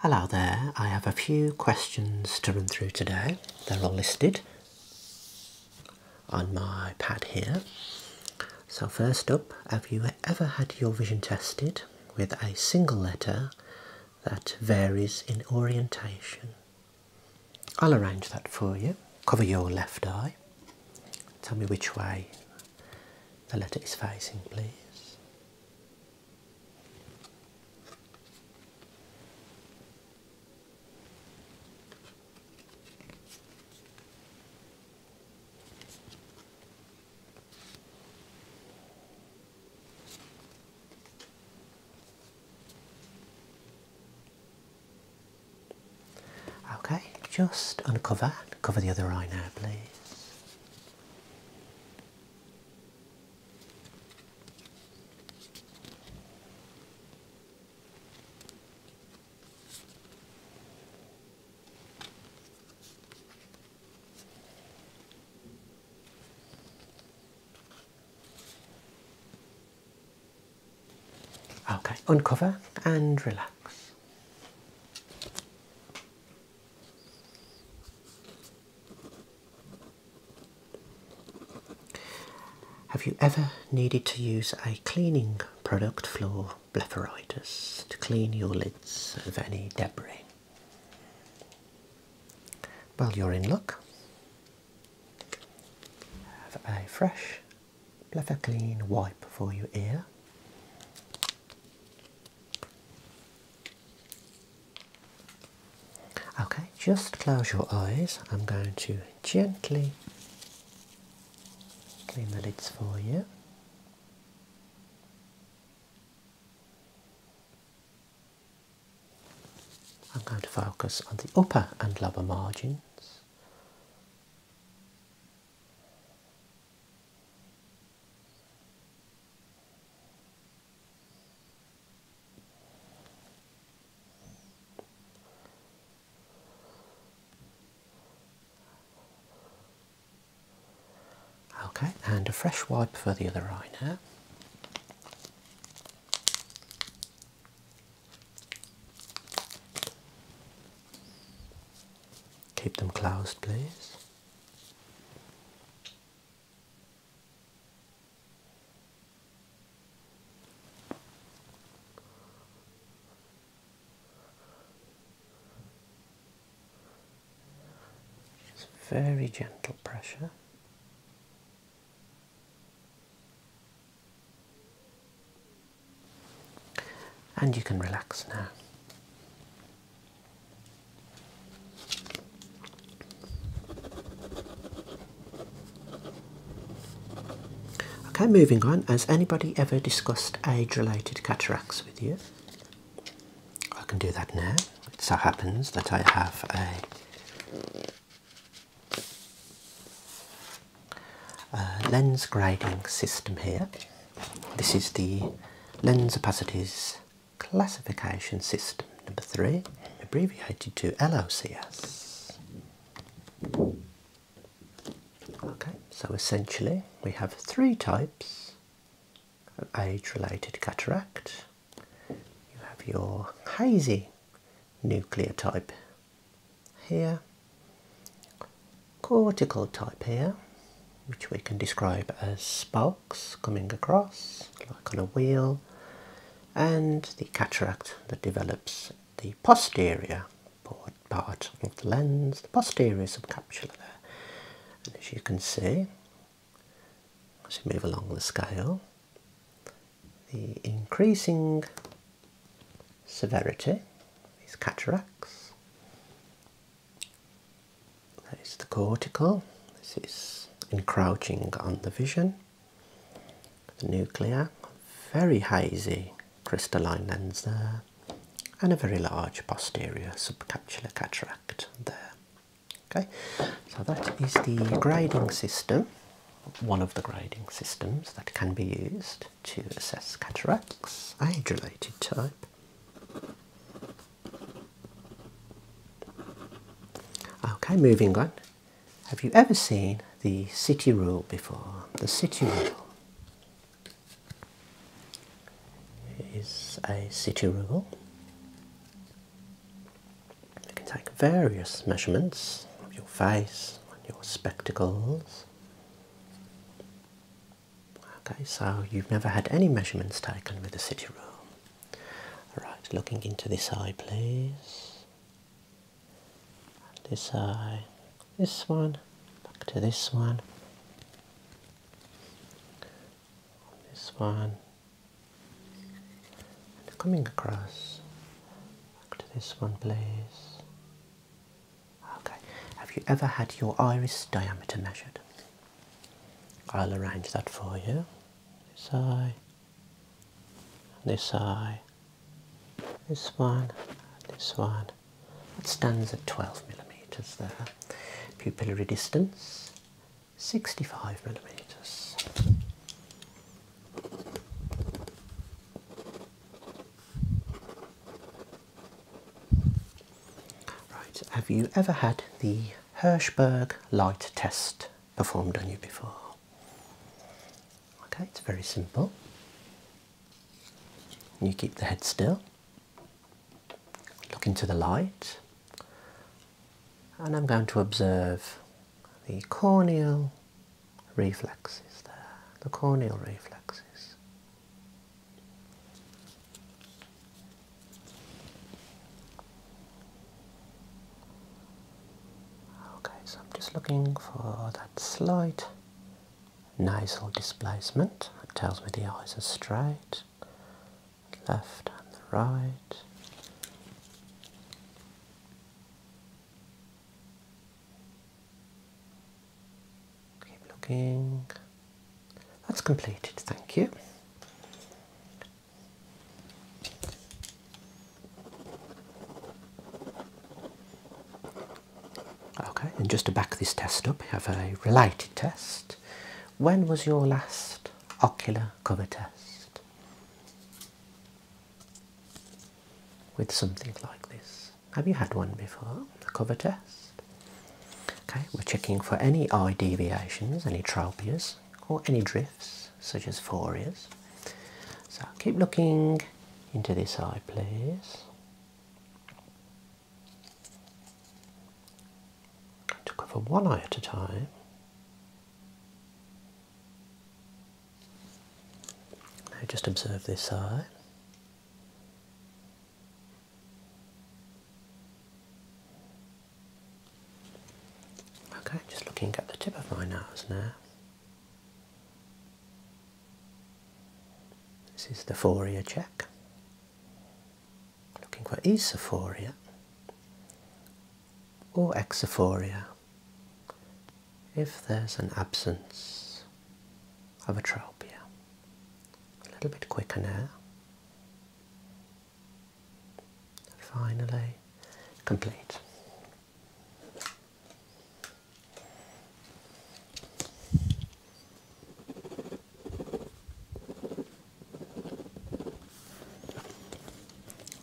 Hello there, I have a few questions to run through today. They're all listed on my pad here. So, first up, have you ever had your vision tested with a single letter that varies in orientation? I'll arrange that for you. Cover your left eye. Tell me which way the letter is facing, please. Okay, just uncover, cover the other eye now, please. Okay, uncover and relax. Have you ever needed to use a cleaning product floor blepharitis to clean your lids of any debris? Well, you're in luck. Have a fresh Blether Clean wipe for your ear. Okay, just close your eyes. I'm going to gently clean the lids for you. I'm going to focus on the upper and lower margins. Okay, and a fresh wipe for the other eye now. Keep them closed, please. Just very gentle pressure. And you can relax now. Okay, moving on. Has anybody ever discussed age related cataracts with you? I can do that now. It so happens that I have a, lens grading system here. This is the lens opacities classification system, number three, abbreviated to LOCS. Okay, so essentially we have three types of age-related cataract. You have your hazy nuclear type here, cortical type here, which we can describe as SPOL, coming across like on a wheel and the cataract that develops the posterior part of the lens, the posterior subcapsular there. And as you can see, as you move along the scale, the increasing severity, of these cataracts, that is the cortical. This is encroaching on the vision. The nuclear, very hazy crystalline lens there, and a very large posterior subcapsular cataract there. Okay, so that is the grading system, one of the grading systems that can be used to assess cataracts, age related type. Okay, moving on. Have you ever seen the city rule before? The city rule is a city rule. You can take various measurements of your face and your spectacles. Okay, so you've never had any measurements taken with the city room. Alright, looking into this eye, please. This eye, this one, back to this one, this one, coming across, back to this one, please. Okay, have you ever had your iris diameter measured? I'll arrange that for you. This eye, this eye, this one, this one. It stands at 12 millimeters there. Pupillary distance 65 millimeters. Right, have you ever had the Hirschberg light test performed on you before. Okay, it's very simple. You keep the head still, look into the light, and I'm going to observe the corneal reflexes there, the corneal reflexes. Okay, so I'm just looking for that slight nasal displacement. It tells me the eyes are straight, left and the right. Keep looking. That's completed, thank you. Okay, and just to back this test up, we have a related test. When was your last ocular cover test? With something like this. Have you had one before? the cover test? Okay, we're checking for any eye deviations, any tropias, or any drifts, such as phoreas. So keep looking into this eye, please. Going to cover one eye at a time. Now just observe this eye. Okay, just looking at the tip of my nose now. This is the foria check. Looking for esophoria or exophoria if there's an absence of atropia. A little bit quicker now finally complete.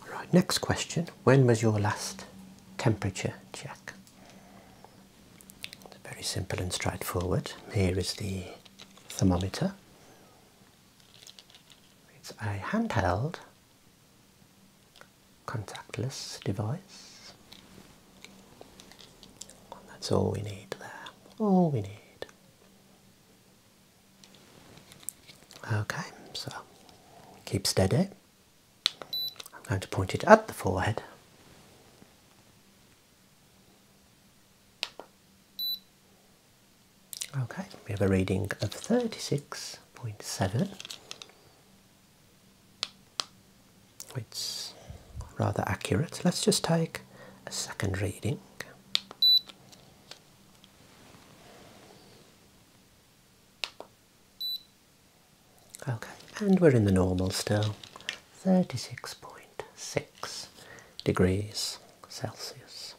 All right. next question. When was your last temperature check? It's very simple and straightforward. Here is the thermometer. It's a handheld contactless device. that's all we need there, all we need. Okay, so keep steady. I'm going to point it at the forehead. Okay, we have a reading of 36.7. It's rather accurate. Let's just take a second reading. Okay, and we're in the normal still, 36.6 degrees Celsius.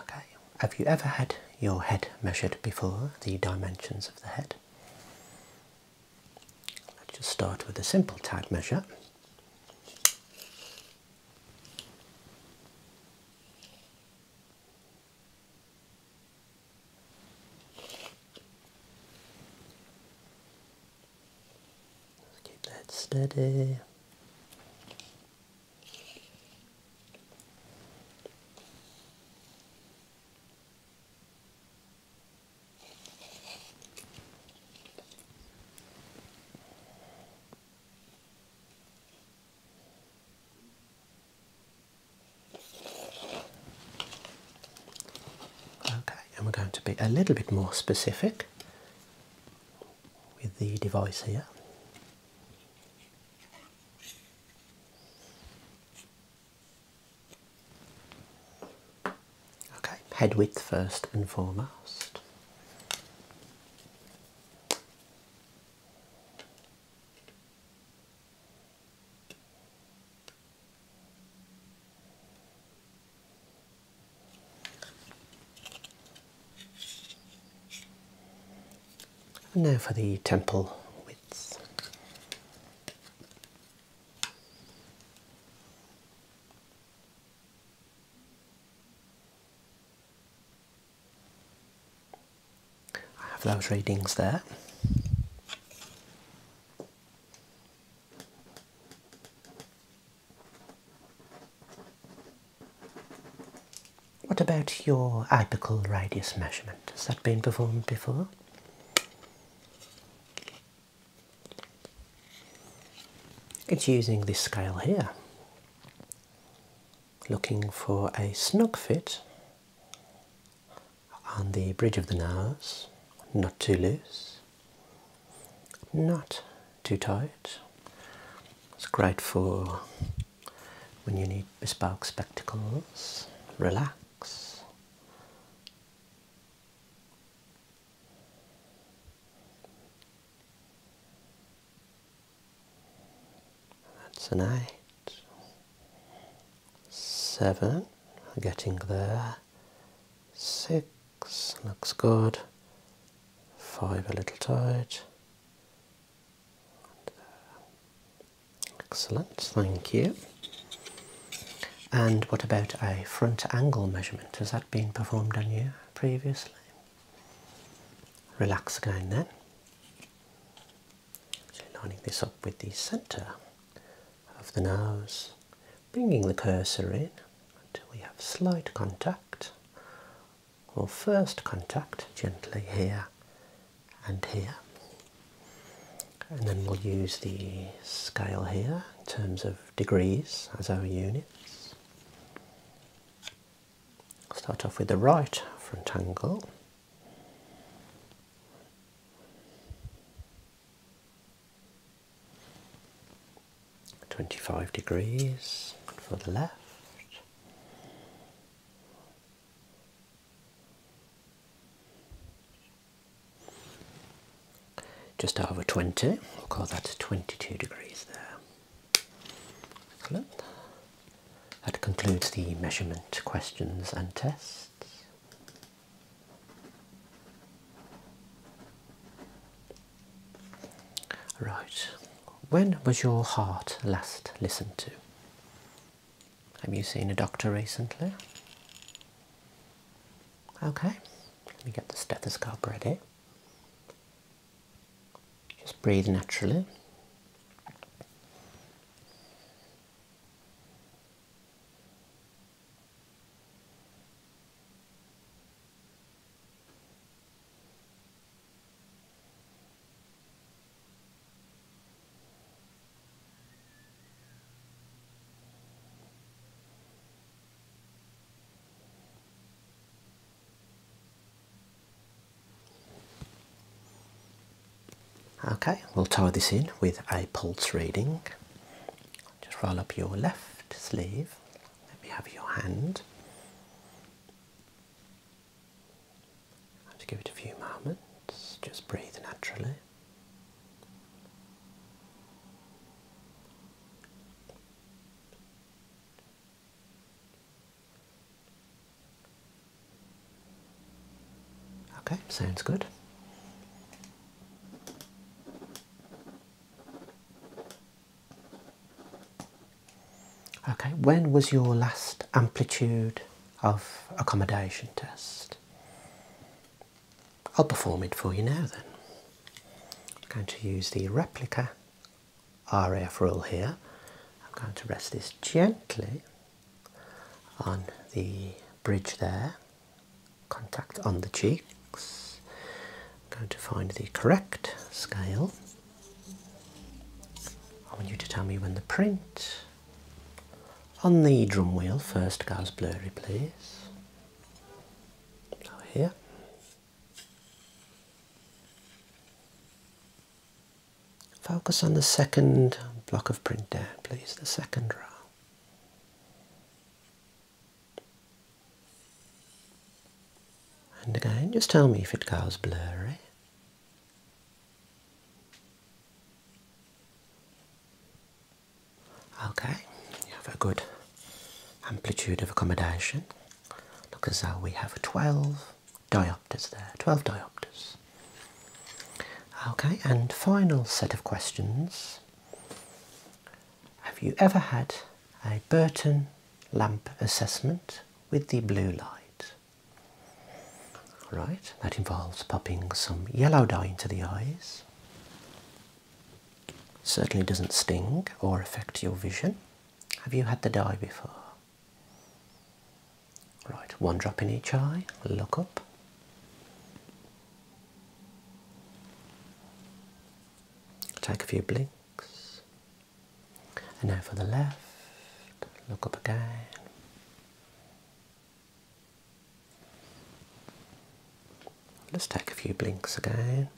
Okay, have you ever had your head measured before, the dimensions of the head? Let's just start with a simple tag measure. Let's keep that steady. Okay, and we're going to be a little bit more specific with the device here. Okay, head width first and foremost. And now for the temple widths. I have those readings there. What about your apical radius measurement? Has that been performed before? It's using this scale here, Looking for a snug fit on the bridge of the nose, not too loose, not too tight. It's great for when you need bespoke spectacles, relax. That's an eight. Seven, getting there. Six, looks good. Five, a little tight. Excellent, thank you. And what about a front angle measurement? Has that been performed on you previously? Relax again then. Actually lining this up with the centre of the nose, bringing the cursor in until we have slight contact or first contact gently here and here. And then we'll use the scale here in terms of degrees as our units. Start off with the right front angle. Twenty-five degrees for the left. Just over 20, we'll call that 22 degrees there. Excellent. That concludes the measurement questions and tests. Right, when was your heart last listened to? Have you seen a doctor recently? Okay, let me get the stethoscope ready. Just breathe naturally. Okay, we'll tie this in with a pulse reading. Just roll up your left sleeve. Let me have your hand. Just give it a few moments. Just breathe naturally. Okay, sounds good. Okay, when was your last amplitude of accommodation test? I'll perform it for you now then. I'm going to use the replica Raf rule here. I'm going to rest this gently on the bridge there, contact on the cheeks. I'm going to find the correct scale. I want you to tell me when the print on the drum wheel first goes blurry, please. So here. Focus on the second block of print there, please, the second row. And again, just tell me if it goes blurry. Okay, you have a good amplitude of accommodation. Look as how we have 12 diopters there, 12 diopters. Okay, and final set of questions. Have you ever had a Burton lamp assessment with the blue light? All right. that involves popping some yellow dye into the eyes. Certainly doesn't sting or affect your vision. Have you had the dye before? Right, one drop in each eye, look up. Take a few blinks. And now for the left, look up again. Let's take a few blinks again.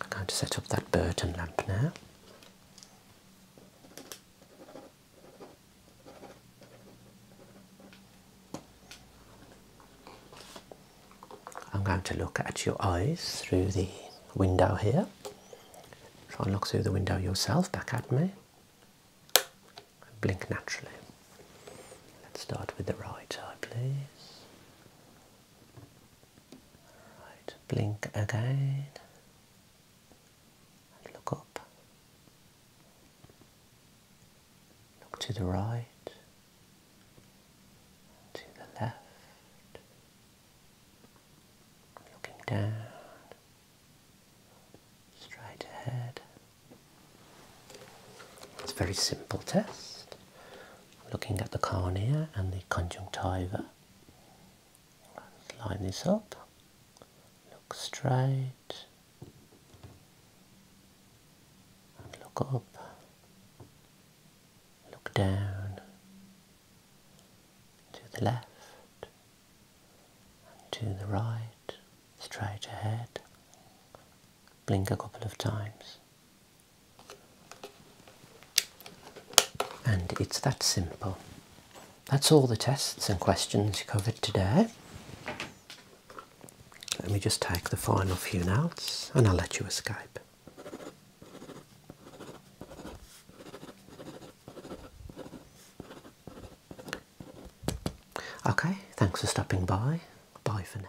I'm going to set up that Burton lamp now. I'm going to look at your eyes through the window here. Try and look through the window yourself back at me. Blink naturally. Let's start with the right eye, please blink again look up. Look to the right, to the left, looking down, straight ahead. It's a very simple test looking at the cornea and the conjunctiva. line this up, look straight, look up, look down, to the left, to the right, straight ahead. Blink a couple of times. And it's that simple. That's all the tests and questions covered today. Let me just take the final few notes and I'll let you escape. Okay, thanks for stopping by. Bye for now.